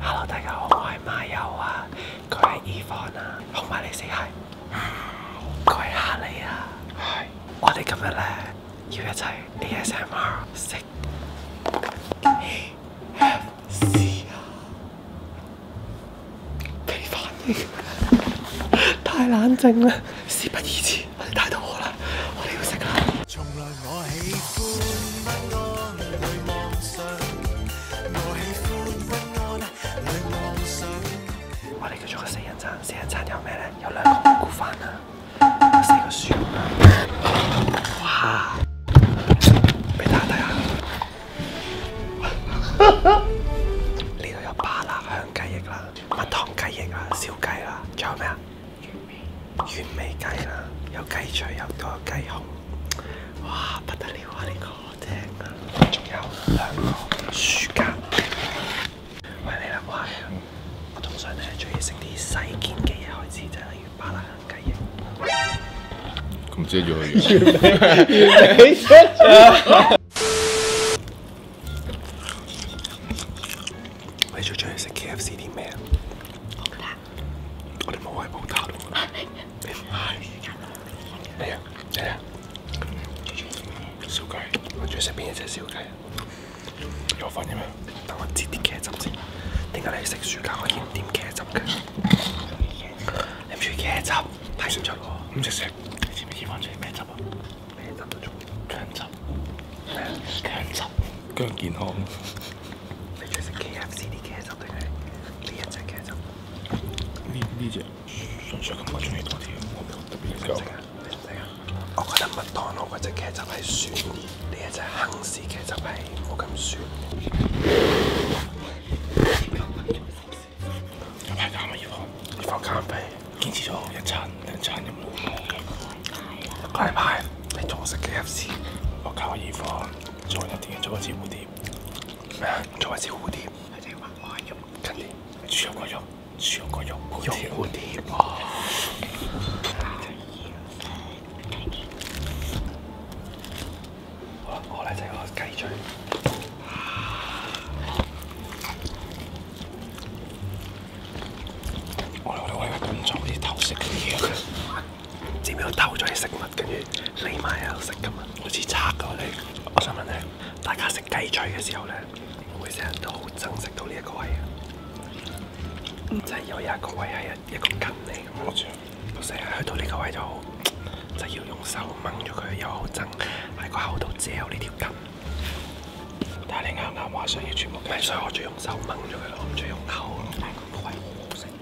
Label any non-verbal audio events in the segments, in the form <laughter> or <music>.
Hello，大家好，我系马友啊，佢系 Evan 啊，同埋你识系，佢系阿利啊，系，我哋今日咧要一齐 ASMR 食，太冷静啦，事不宜迟，太饿啦，我哋要食啦。我喜喜我我哋叫做个四人餐，食人餐有咩咧？有两个蘑菇饭啊，四个薯啊。哇！俾大家睇下，<laughs> 呢度有巴辣香鸡翼啦，蜜糖鸡翼啊，烧鸡啊，仲有咩啊？完美雞啦，有雞脆，有多雞胸，哇不得了啊！呢個正啊，仲有兩個薯家，喂，你啦，哇！我通常咧最中意食啲細件嘅嘢開始，就係例如巴拉雞翼，咁先做開完美，<laughs> 你最中意食 K F C 啲咩啊？我哋冇冇位你唔系，哎啊哎啊，烧鸡，我最食边一只烧鸡有分嘅咩？等我接啲茄汁先。点解你食暑假可以点茄汁嘅？你唔中意茄汁，太酸咗啦。唔食食。你知唔知我最咩汁啊？咩汁？都中，姜汁。姜汁。加健康。你最食 K F C 啲茄汁定佢，呢一隻茄汁，呢呢只純粹咁中意多啲，我冇特別研我覺得麥當勞嗰只茄汁係算，呢一隻肯士茄汁係冇咁酸。有排減咪要放咖啡，堅持咗一餐兩餐咁咯。解牌。你做食嘅 F C，我靠而方做一啲嘅，做一只蝴蝶咩？做一只蝴蝶，一只白骨肉，跟住，超过肉，超过肉，蝴蝶好啦，我嚟整下鸡嘴，我我我我我唔做啲偷食嘅嘢。前面有偷咗啲食物，跟住你喺度食咁啊！好似拆过你。我想问咧，大家食鸡嘴嘅时候咧，会唔会成日都好憎食到呢一个位啊？就系有一个位系一一个筋嚟，我成日去到呢个位就就要用手掹咗佢，又好憎喺个口度嚼呢条筋。但系你啱啱话想要全部，唔所以我最用手掹咗佢，我唔最用口。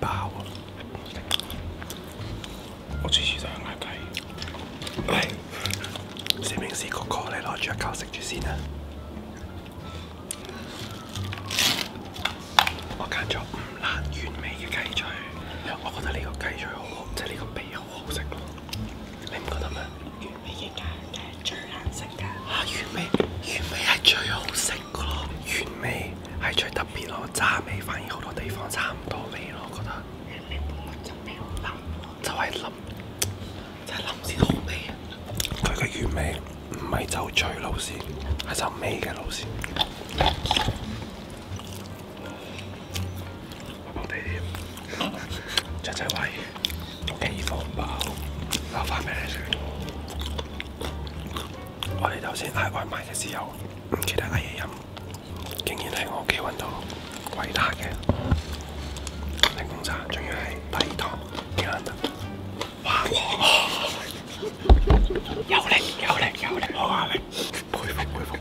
包啊！我次次都係嗌雞。四明士個咖你攞住一嚿食住先啦。我揀咗五辣原味嘅雞腿，我覺得呢個雞腿好好，即係呢個皮好好食。你唔覺得咩？原味嘅雞腿最難食㗎。啊，完美！完美係最好食。原味係最特別咯，炸味反而好多地方差唔多味咯，覺得。就係淋，就係淋先好味。佢嘅原味唔係走脆路线，係走味嘅路線。嚟啲，再再喂，雞肉包，我發食。我哋头先嗌外卖嘅时候唔记得嗌嘢饮，竟然喺我屋企揾到伟大嘅柠檬茶，仲要系低糖，几难得！哇！有力有力有力，好压力，佩服佩服！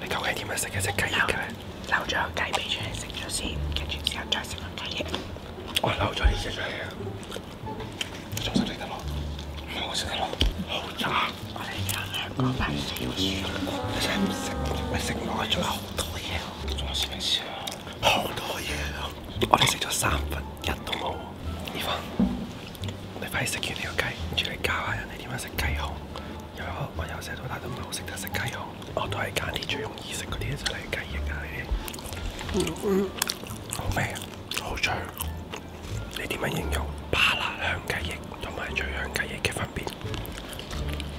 你究竟点样食一只鸡嘅咧？留咗个鸡髀出嚟食咗先，跟住之后再食个鸡翼。我留咗呢只出嚟啊！仲食得落，我食得落，好渣。我哋有两个美食嘅书，你真系唔食，你食落去仲有好多嘢，仲有咩事啊？好多嘢。啊！我哋食咗三分一都冇。依番，你快食完呢个鸡，跟住你教下人哋点样食鸡胸。有我由细到，大都唔系好识得食鸡胸。我都系拣啲最容易食嗰啲，就例鸡翼啊呢啲。嗯嗯，好味啊，好脆。你點樣形容巴辣香雞翼同埋醉香雞翼嘅分別？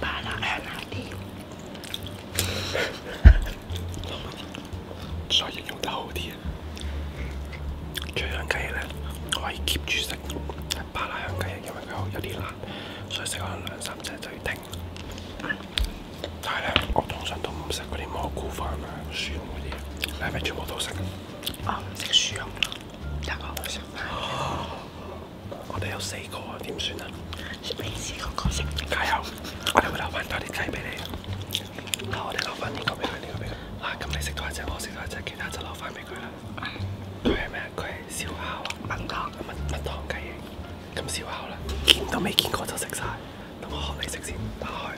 巴辣香啲，<laughs> 所以用得好啲啊！醉香雞咧可以 keep 住食，巴辣香雞翼因為佢好有啲辣，所以食可能兩三隻就要停。但係咧，我通常都唔食嗰啲蘑菇飯啊、薯蓉嗰啲，係咪全部都食？啊，唔食薯蓉，得個。我哋有四个啊，点算啊？食未試過，個食。加油！我哋会留翻多啲鸡俾你。嗱，我哋留翻呢个俾佢，呢个俾佢。嗱，咁你食多一只，我食多一只，其他就留翻俾佢啦。佢系咩佢系烧烤啊，蜜糖蜜蜜糖鸡翼。咁烧烤啦，见都未见过就食晒。等我学你食先，打开。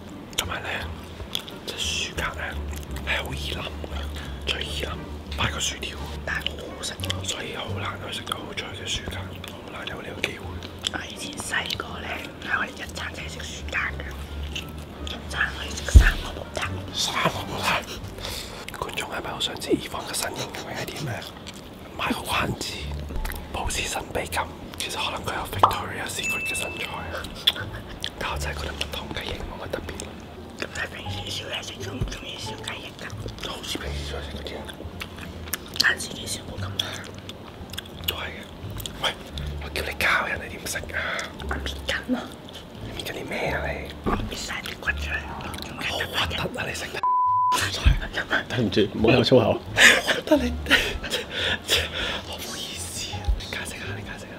同埋咧，只薯格咧，系好易冧嘅，最易冧，摆个薯条，但系好好食，所以好难去食到好脆嘅薯格，难有呢个机会。我以前细个咧，系我哋一餐就系食薯格嘅，一餐可以食三个，三个。观众系咪好想知以往嘅身材系啲咩？买个关子，保持神秘感。其实可能佢有 Victoria Secret 嘅身材。但係真係嗰同個糖雞翼冇乜特別。咁你平時少嘢食中唔中意食雞翼噶？好似平時嘢食嗰啲啊！但自己食冇咁辣。都係嘅。喂，我叫你教人哋點食啊！我搣間啊？你邊緊啲咩啊你？搣晒啲骨出嚟啊！好核突啊你食得！对唔住，唔好有粗口。得你，我好意思啊！你解釋下，你解釋下。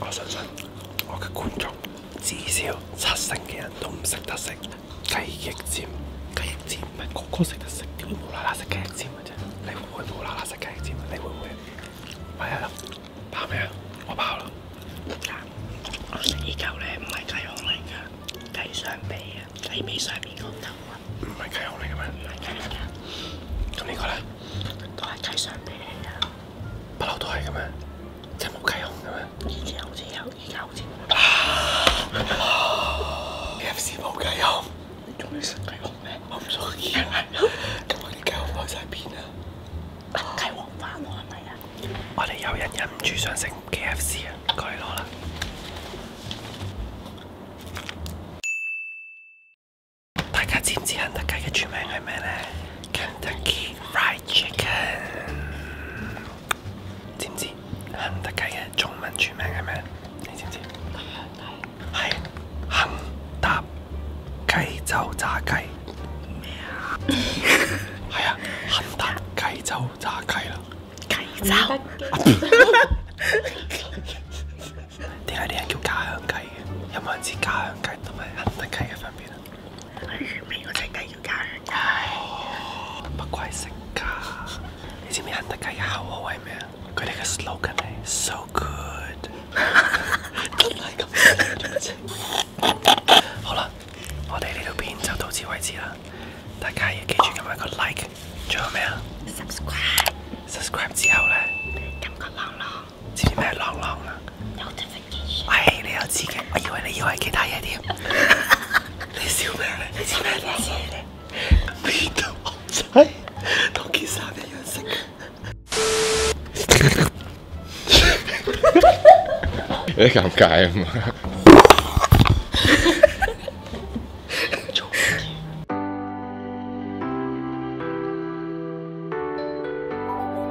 我相信我嘅觀眾至少七成嘅人都唔識得食雞翼尖。雞翼尖唔系個個識得食会無啦啦食雞翼尖嘅啫？你會唔會無啦啦食雞翼尖啊？你會唔會？咪係咯，爆咩啊？我爆啦！我食依嚿咧，唔係雞胸嚟㗎，雞上鼻啊，雞髀上面嗰嚿啊，唔係雞胸嚟嘅咩？唔係雞胸噶，咁呢個咧，都係雞雙嚟啊。不嬲都系噶咩？真冇计胸噶咩？以前好似有，而家好冇。K F C 冇计胸。你中意食鸡胸咩？我唔中意。咁我啲鸡胸开晒片啦。鸡黄花我系咪啊？我哋有人忍唔住想食 K F C 啊，过嚟攞啦。大家知唔知肯德鸡嘅全名系咩咧？肯德基 fried chicken，知唔知肯德基嘅中文全名係咩？你知唔知？係肯搭雞州炸雞咩啊？係啊，肯搭雞州炸雞啦。雞州？点解啲人叫家乡雞嘅？有冇人知家乡雞同埋肯德雞嘅分別啊？我前面个食家要加血，不愧食噶？你知唔知肯德鸡嘅口号系咩啊？佢哋嘅 slogan 系 so good。好啦，我哋呢条片就到此为止啦。大家要记住今晚个 like，仲有咩啊？subscribe，subscribe 之后咧，揿个浪浪。知咩朗朗啊？系你又知嘅，我以為你以为其他嘢添。<laughs> 你笑咩？你知咩？你知咩？你都唔使，同其三點有人食。你尴尬啊？做 <laughs>